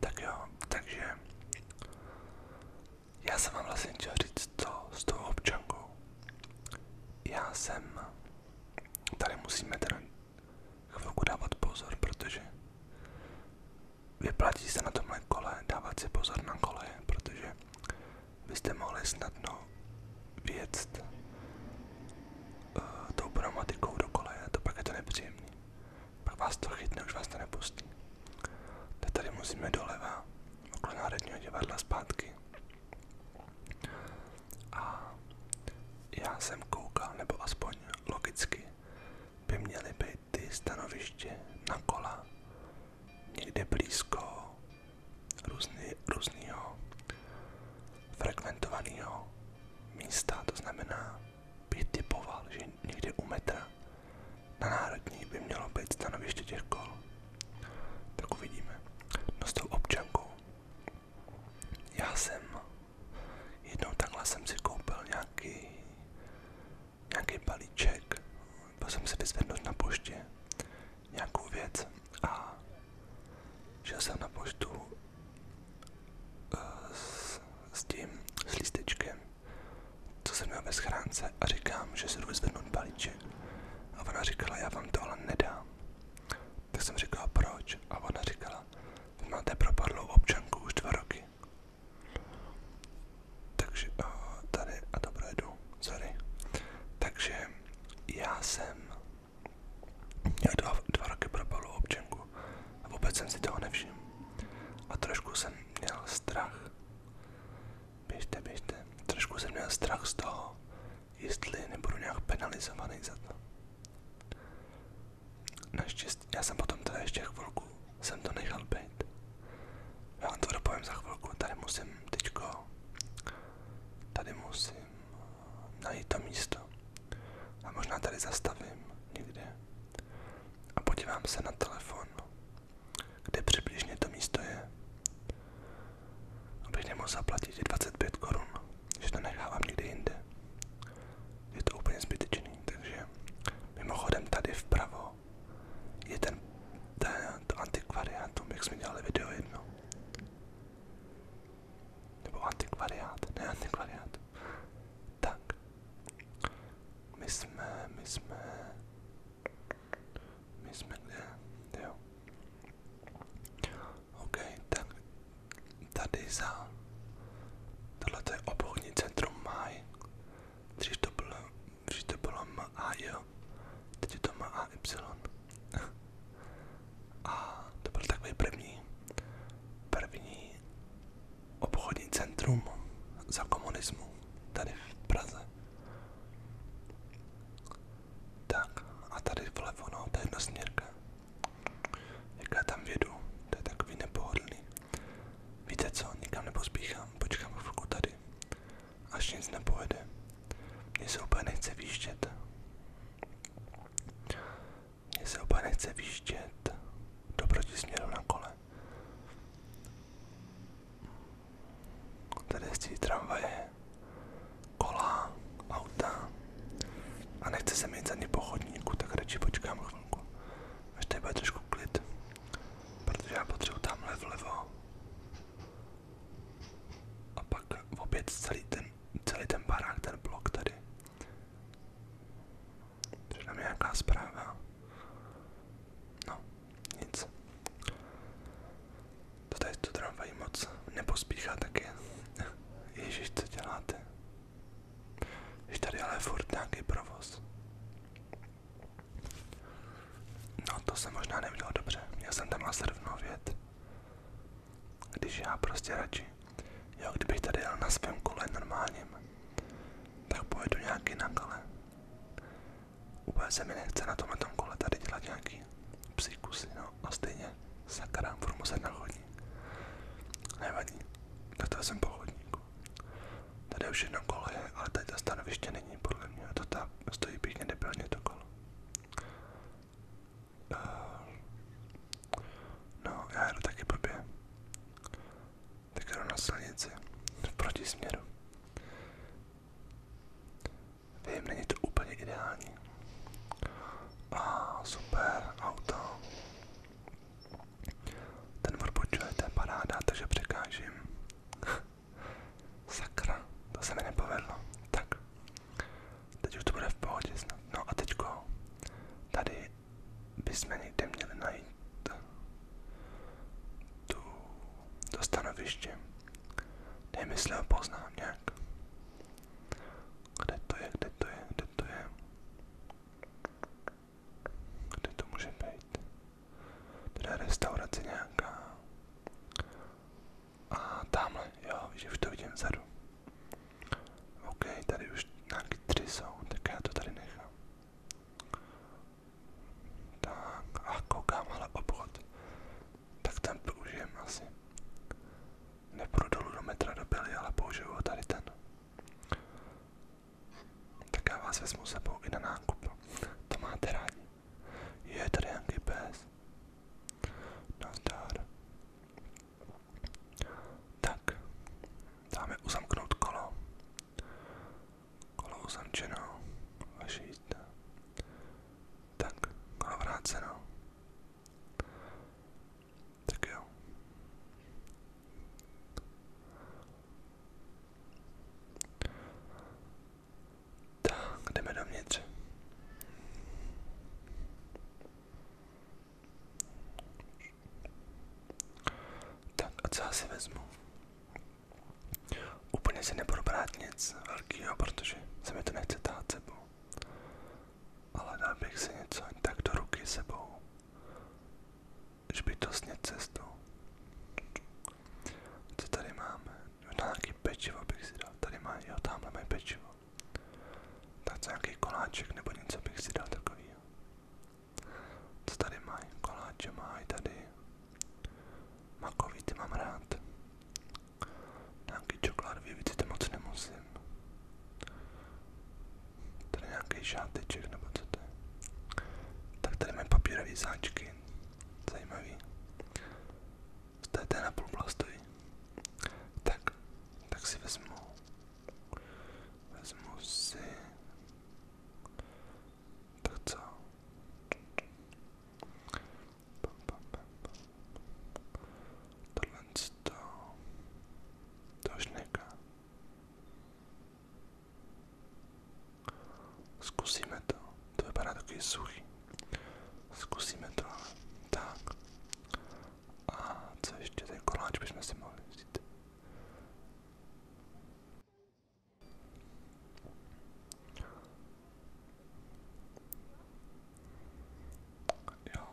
Tak jo, takže já jsem vám vlastně chtěl říct to s tou občankou. Já jsem, tady musíme teda chvilku dávat pozor, protože vyplatí se na tomhle kole dávat si pozor na koleje, protože byste mohli snadno věct uh, tou pneumatikou do koleje, to pak je to nepříjemný. Pak vás to chytne, už vás to nepustí. Teď tady musíme doleva, okolo Národního divadla zpátky. A já jsem koukal, nebo aspoň logicky, by měly být ty stanoviště na kola někde blízko různý, různýho frekventovaného místa, to znamená bych typoval, že někde u metra na národní by mělo být stanoviště těch kol. Tak uvidíme. No s tou občankou. Já jsem jednou takhle jsem si koupil nějaký nějaký balíček, byl jsem si vyzvednout na poště nějakou věc a šel jsem na poštu s, s tím, s lístečkem, co jsem měl ve schránce a říkám, že si jdu vyzvednout balíček. A ona říkala, já vám to ale nedám. Tak jsem říkal, proč? A ona říkala, vy máte propadlou občanku už dva roky. Takže eh, tady, a to projedu, sorry. Takže já jsem Nějak dva, dva roky propalu občanku vůbec jsem si toho nevšiml. A trošku jsem měl strach. Běžte, běžte. Trošku jsem měl strach z toho, jestli nebudu nějak penalizovaný za to. Naštěstí, já jsem potom teda ještě chvilku, jsem to nechal být. Já vám to za chvilku, tady musím teďko, tady musím najít to místo. A možná tady zastavím někde a podívám se na telefon, kde přibližně to místo je. Abych nemohl zaplatit 25 korun, že to nechávám někde jinde. Je to úplně zbytečný, takže mimochodem tady vpravo je ten, ten to antikvariátum, jak jsme dělali video jedno. Nebo antikvariát, ne antikvariát. Tak. My jsme, my jsme, my jsme kde? Jo. OK, tak tady za, tohle je obchodní centrum Maj. Dřív to bylo, dřív to bylo M A to M Y. A to byl takový první, první obchodní centrum za komunismu tady v Praze. Tak a tady vlevo, no, to je jedna směrka. Jak já tam vědu, to je takový nepohodlný. Víte co, nikam nepospíchám, počkám chvilku tady, až nic nepojede. Mně se úplně nechce výjíždět. Mně se oba nechce výjíždět do protisměru na kole. Tady jezdí tramvaje, kola, auta a nechce se mít ani po chodníku, tak počkám chvilku, až trošku klid, protože já potřebuji tamhle vlevo a pak opět celý ten celý ten barák, ten blok tady. Přišla mi nějaká zpráva. No, nic. To tady to tramvají moc nepospíchá taky. Ježíš, co děláte? Jež tady ale furt nějaký provoz. No to jsem možná neviděl dobře, já jsem tam asi rovnou věd. Když já prostě radši, jo, kdybych tady jel na svém kole normálním, tak pojedu nějaký na kale. Úplně se mi nechce na tomhle tom kole tady dělat nějaký psikusy, no a stejně sakra, budu muset na chodník. Nevadí, tak to jsem po chodníku. Tady už jedno kole, je, ale tady ta stanoviště není podle mě, to ta stojí pěkně debilně to kolo. Uh, no, já jedu taky blbě. Tak jdu na silnici, v protisměru. Vím, není to úplně ideální. A super, auto. Ten odbočuje, to je paráda, takže překážím. Sakra, to se mi nepovedlo. Tak, Teď už to bude v pohodě snad. No a teďko tady bychom někde měli najít tu, to stanoviště. Nemysl ho poznám nějak. Kde to je, kde to je, kde to je? Kde to může být? Teda restaurace nějaká. A tamhle, jo, že už to vidím vzadu. OK, tady už nějaký tři jsou, tak já to tady nechám. Tak, a koukám, ale obchod. Tak ten použijem asi. Nepůjdu dolů do metra do Billy, ale použiju ho tady ten. Tak já vás vezmu sebou i na nákup. To máte rádi. Je tady nějaký pes. Nazdar. Tak, dáme uzamknout kolo. Kolo uzamčeno, vaše jízda. Tak, kolo vráceno. Tak jo. Tak, jdeme dovnitř. Tak a co já si vezmu? Úplně si nebudu brát protože se to nechce tát Ale dal bych si něco tak do ruky sebou, že by to snět cestou. Co tady máme? Možná no, nějaký pečivo bych si dal. Tady má, jo, tamhle pečivo. Tak nějaký koláček nebo něco bych si dal takovýho. Co tady mají? Koláče mají tady. Makový ty mám rád. Nějaký čokoládový víc to moc nemusím. Tady nějaký šáteček nebo co to je. Tak tady mají papírové sáčky. Zajímavý v té, té napůl stojí. Tak, tak si vezmu, vezmu si, tak co? Tohle to, to už neka. Zkusíme to, to vypadá takový suchý. Zkusíme to, tak. A co ještě ten koláč bychom si mohli vzít? Jo,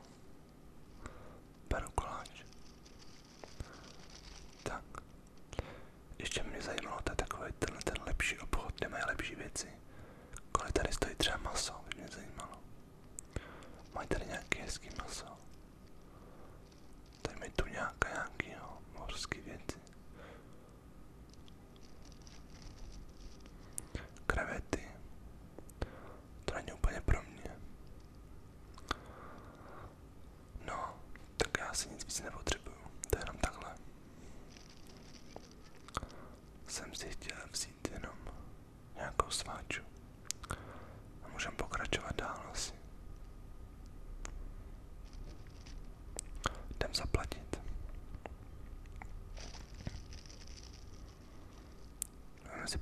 beru koláč. Tak, ještě mě zajímalo, to je takový tenhle ten lepší obchod, kde mají lepší věci. Kolik tady stojí třeba maso, by mě zajímalo. Mají tady nějaký hezký maso. Tady mají tu nějaká nějaký jo, mořský věci. Krevety. To není úplně pro mě. No, tak já si nic víc nepotřebuju. To je jenom takhle jsem si chtěl vzít jenom nějakou sváču. A můžeme pokračovat dál asi. Jdem zaplatit. Máme si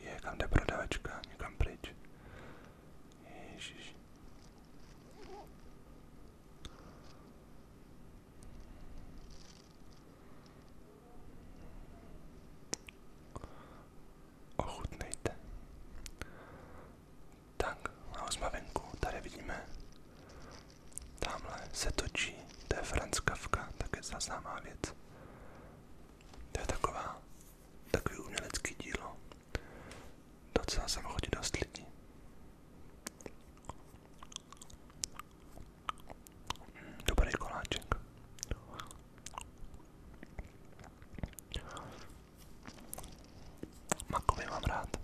je, kam jde prodavačka, někam pryč. Ježiš. Ochutnejte. Tak, a jsme venku, tady vidíme. Tamhle se točí, to je Franz Kafka, také známá věc. To je taková takový umělecký dílo. Docela jsem chodí dost lidí. Dobrý koláček. Makový mám rád.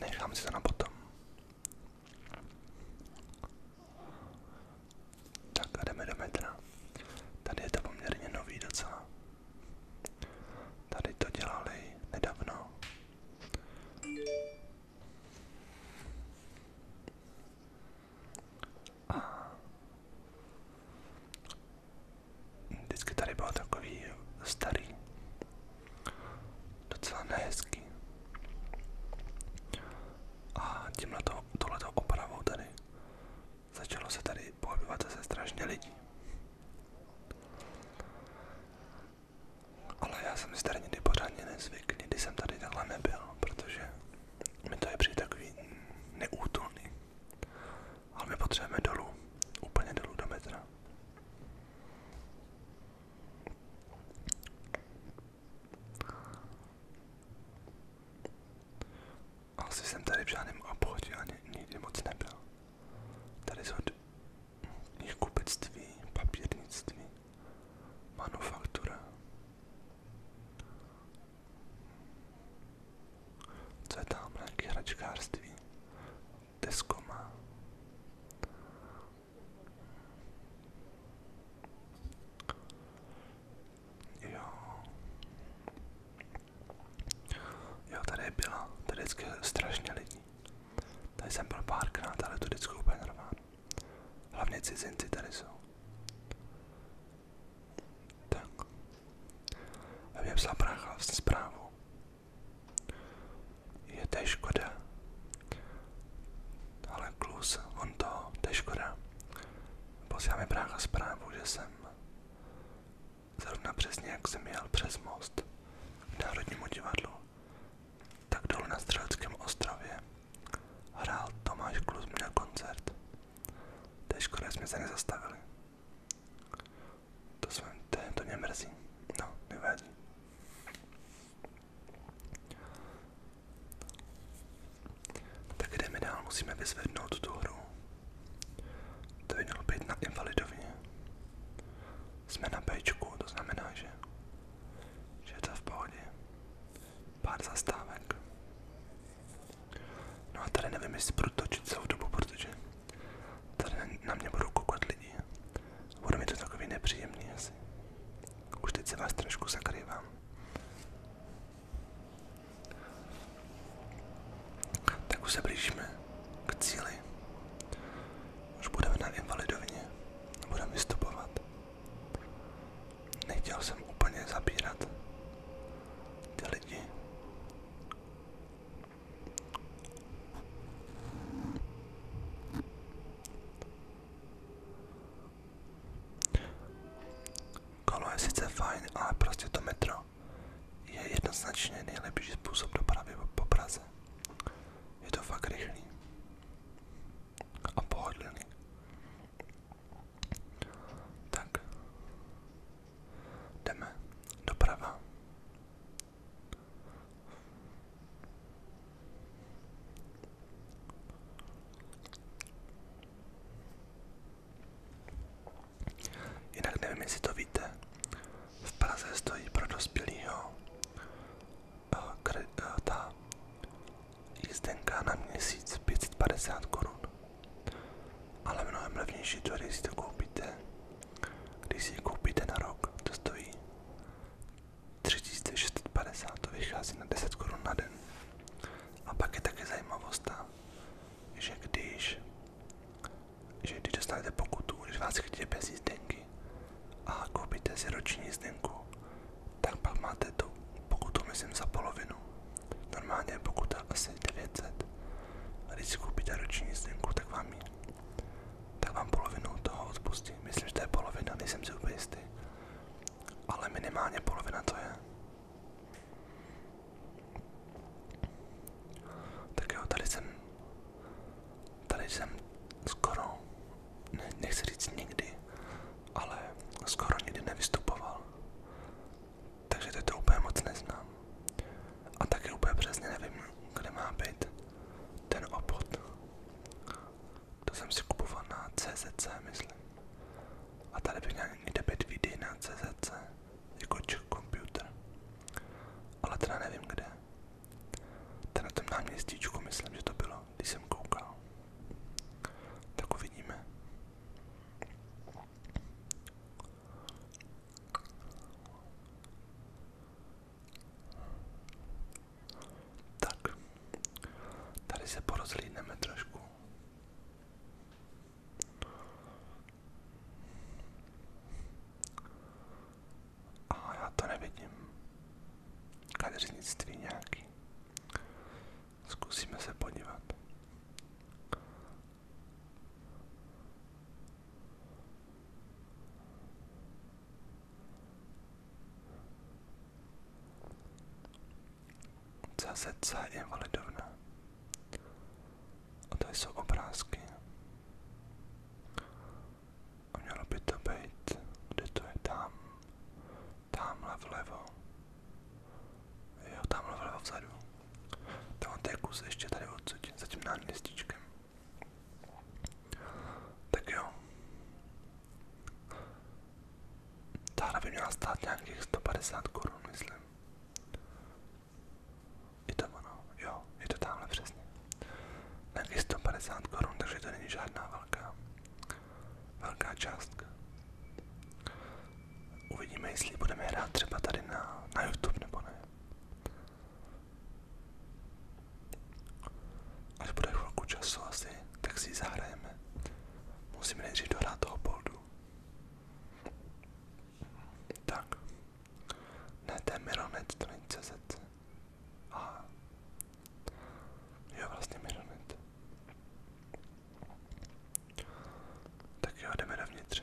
Nechám si to na potom. Tak a jdeme do metra. Tady je to poměrně nový docela. Tady to dělali nedávno. A vždycky tady byl takový starý, docela nehezký. A tímhle to, tohleto opravou tady Začalo se tady pohybovat zase strašně lidí. Ale já jsem si tady nikdy pořádně nezvykl. nikdy jsem tady takhle nebyl, protože mi to je přijde takový neútulný. Ale my potřebujeme dolů, úplně dolů do metra. Asi jsem tady v žádném obchodě ani nikdy moc nebyl. Tady jsou knihkupectví, papírnictví, manufaktura. Co je tam? Nějaké hračkářství. Tesco má. Jo. Jo, tady byla, tady vždycky strašně lidí. Tady jsem byl párkrát, ale to vždycky úplně nerván. Hlavně cizinci tady jsou. Tak. A mě psal brácha vlastně zprávu. Je to škoda. Ale klus, on to, to je škoda. Posílá mi brácha zprávu, že jsem zrovna přesně jak jsem jel přes most k Národnímu divadlu, tak dolů na Střeleckém ostrově hrál Tomáš Klus měl koncert. To je škoda, jsme se nezastavili. To, jsem, to, to mě mrzí. No, nevadí. Tak jdeme dál, musíme vyzvednout tu hru. To by mělo být na invalidovně. Jsme na pečku, to znamená, že, že je to v pohodě. Pár zastávek. No a tady nevím, jestli budu točit celou dobu, protože tady na mě budou koukat lidi. Bude mi to takový nepříjemný asi. Už teď se vás trošku zakrývám. Tak už se blížíme k cíli. Už budeme na invalidovně. Budeme vystupovat. Nechtěl jsem úplně zabírat ty lidi. Kolo je sice fajn, ale prostě to metro je jednoznačně nejlepší způsob dopravy po Praze. Je to fakt rychlý a pohodlný. Tak, jdeme doprava. Jinak nevím, jestli to víte. V Praze stojí pro dospělýho eh, eh, ta jízdenka na měsíc 550 korun. Ale mnohem levnější to, když si to koupíte. Když si ji koupíte na rok, to stojí 3650, to vychází na 10 korun na den. A pak je taky zajímavost ta, že když, že když dostanete pokutu, když vás chtějí bez jízdenky a koupíte si roční jízdenku, tak pak máte tu pokutu, myslím, za polovinu. Normálně je pokuta asi 900. A když si koupíte roční jízdenku, tak vám ji, tak vám polovinu toho odpustí. Myslím, že to je polovina, nejsem si úplně jistý. Ale minimálně polovina to je. Tak jo, tady jsem, tady jsem skoro, nechci říct nikdy, ale skoro nikdy nevystupoval. Takže teď to úplně moc neznám. A taky úplně přesně nevím, kde má být ten obchod. To jsem si kupoval na CZC, myslím. A tady by měl někde být videa na CZC, jako Czech Computer. Ale teda nevím kde. Ten na tom náměstíčku myslím, že to bylo, když koukal. Tak uvidíme. Tak, tady se porozlídneme trošku. A já to nevidím. Kadeřnictví nějaký. Zkusíme se podívat. CZC Invalidovna. A tady jsou obrázky. A mělo by to být, kde to je, tam, tamhle vlevo. Jo, tamhle vlevo vzadu. Tam to je kus ještě tady odsud, za tím náměstíčkem. Tak jo. Tahle by měla stát nějakých 150 korun, myslím. Je to ono, jo, je to tamhle přesně. Nějakých 150 korun, takže to není žádná velká, velká částka. Uvidíme, jestli budeme hrát třeba tady na, na YouTube nebo ne. Až bude chvilku času asi, tak si zahrajeme. Musíme nejdřív dohrát toho bolt pravdu. Tak. Ne, to je Mironet, to není CZ. A jo, vlastně Mironet. Tak jo, jdeme dovnitř.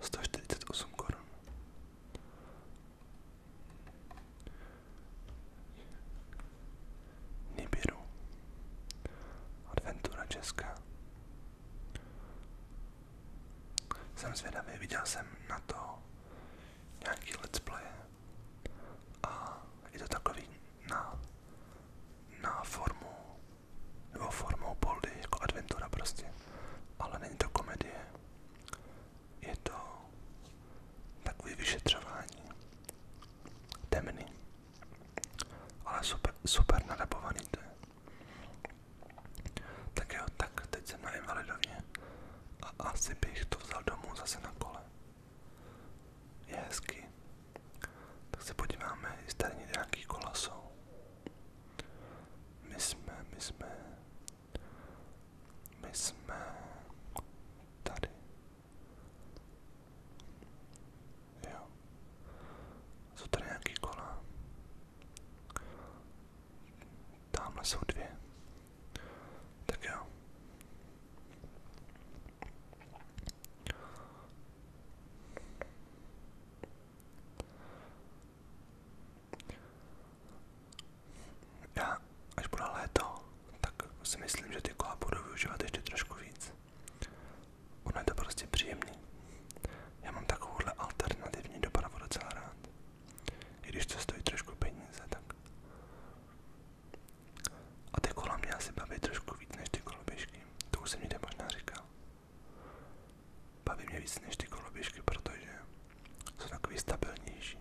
148 korun. Nibiru. Adventura Česká. Jsem zvědavý, viděl jsem na to nějaký let's play. A je to takový na, na formu jo, formou boldy, jako adventura prostě, ale není to komedie, je to takový vyšetřování, temný, ale super, super nadabovaný to je. Tak jo, tak teď jsem na invalidovně a asi bych to vzal domů zase na kole. Je hezky. Tak se podíváme, jestli tady nějaký kola jsou. My jsme, my jsme, my jsme tady. Jo. Jsou tady nějaký kola. Tamhle jsou dvě. Tak jo. Já, až bude léto, tak si myslím, že ty kola budu využívat ještě trošku víc. Ono je to prostě příjemný. Já mám takovouhle alternativní dopravu docela rád. I když to stojí trošku peníze, tak. A ty kola mě asi baví trošku víc než ty koloběžky. To už jsem někde možná říkal. Baví mě víc než ty koloběžky, protože jsou takový stabilnější.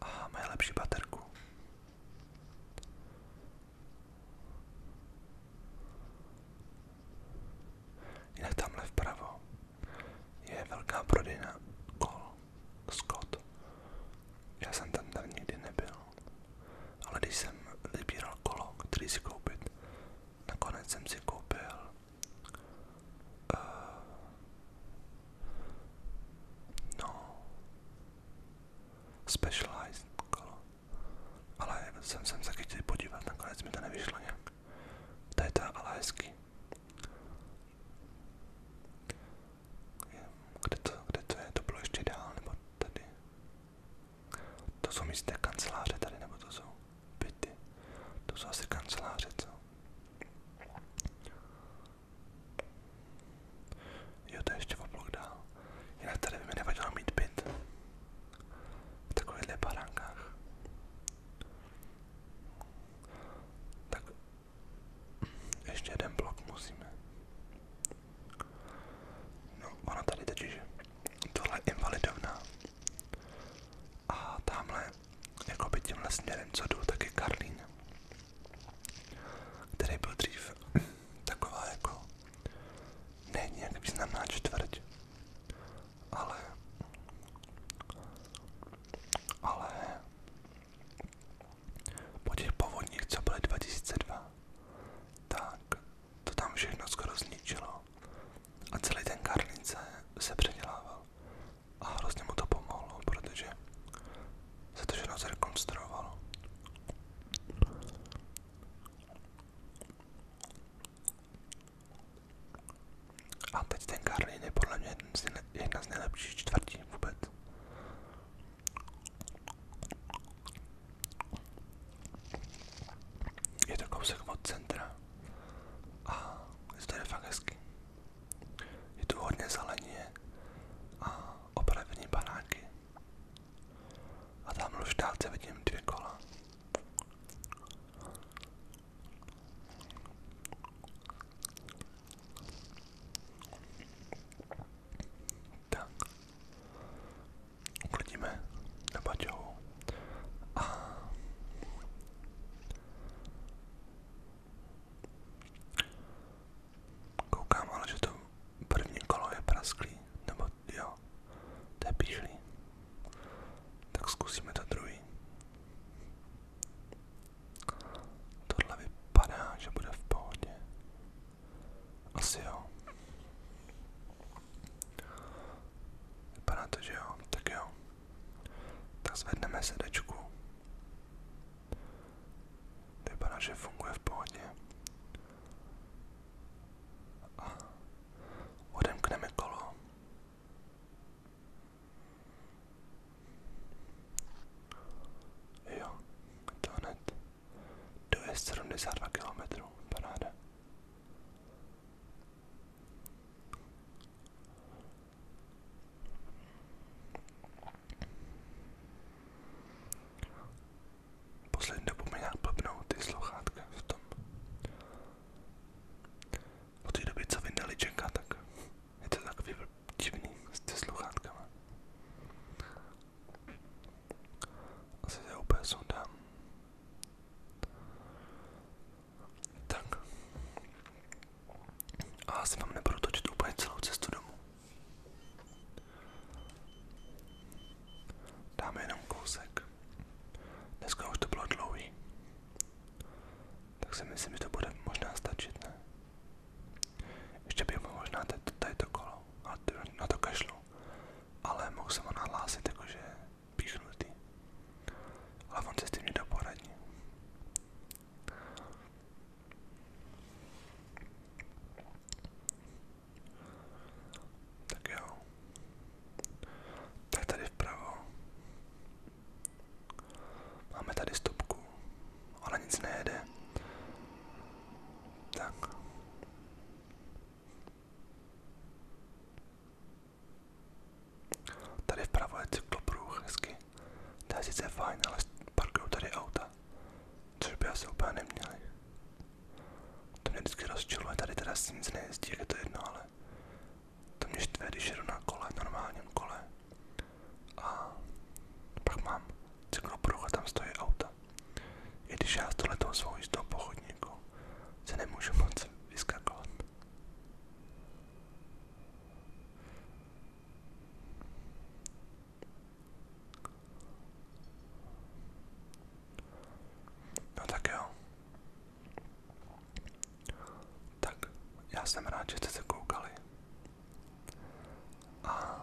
A mají lepší baterku. Jinak tamhle vpravo je velká prodejna kol Scott. Já jsem tam tam nikdy nebyl. Ale když jsem vybíral kolo, který si koupit, nakonec jsem si koupil uh, no specialized kolo. Ale jsem se taky chtěl podívat, nakonec mi to nevyšlo nějak. To je ta ale hezky. Kde to, kde to je? To bylo ještě dál, nebo tady? To jsou místné kanceláře tady, nebo to jsou byty. To jsou asi kanceláře, co? Jo, to je ještě o blok dál. Jinak tady by mi nevadilo mít byt. V takovýchhle baránkách. Tak ještě jeden blok musíme. No, ona tady totiž, tohle je invalidovna. A tamhle, jako by tímhle směrem, co jdu, tak je Karlín, který byl dřív taková jako, ne nějak významná čtvrť, ale, ale, po těch povodních, co byly 2002, tak to tam všechno skoro zničilo. A celý ten Karlince se předělával. A hrozně mu to pomohlo, protože se to všechno zrekonstruovalo. A teď ten Karlin je podle mě jedna z nejlepších čtvrtí vůbec. Je to kousek od centra a zde je fakt hezky. Je tu hodně zeleně a opravení baráky. A tam už dálce vidím dvě kola. Tak. Uklidíme na baťohu. A... Koukám ale, že to první kolo je prasklý, nebo jo, to je píšlý. Tak zkusíme to druhý. Tohle vypadá, že bude v pohodě. Asi jo. Vypadá to, že jo. Tak jo. Tak zvedneme sedačku. Vypadá, že funguje v pohodě. odemkneme kolo. Jo, to Dojezd 72 km, paráda. Poslední dobu mi nějak blbnou ty sluchátka v tom. Od té doby, co vyndali Jacka, tak je to takový divný s ty sluchátkama. Asi to úplně sundám. Dáme jenom kousek. Dneska už to Tak si myslím, že to bude možná stačit, Ještě bych možná tady to kolo, ale na to kašlu neřeknu, ale mohl jsem ho nahlásit jakože píchnutý. Ale on se s tím nedá poradit. Tak jo. Tak tady vpravo. Máme tady stopku, ale nic nejede. Tak, Tady vpravo je cyklopruh, hezky. To je sice ale parkuju tady auta. Což by asi úplně neměli. To mě vždycky rozčiluje, tady teda si nic je to jedno, ale to mě štve, když jedu na kole, kole. A pak mám cyklopruh a tam stojí auta. I když já s tohletou svou jízdou po chodníku se nemůžu moc vyskakovat. No tak jo. Tak, já jsem rád, že jste se koukali. A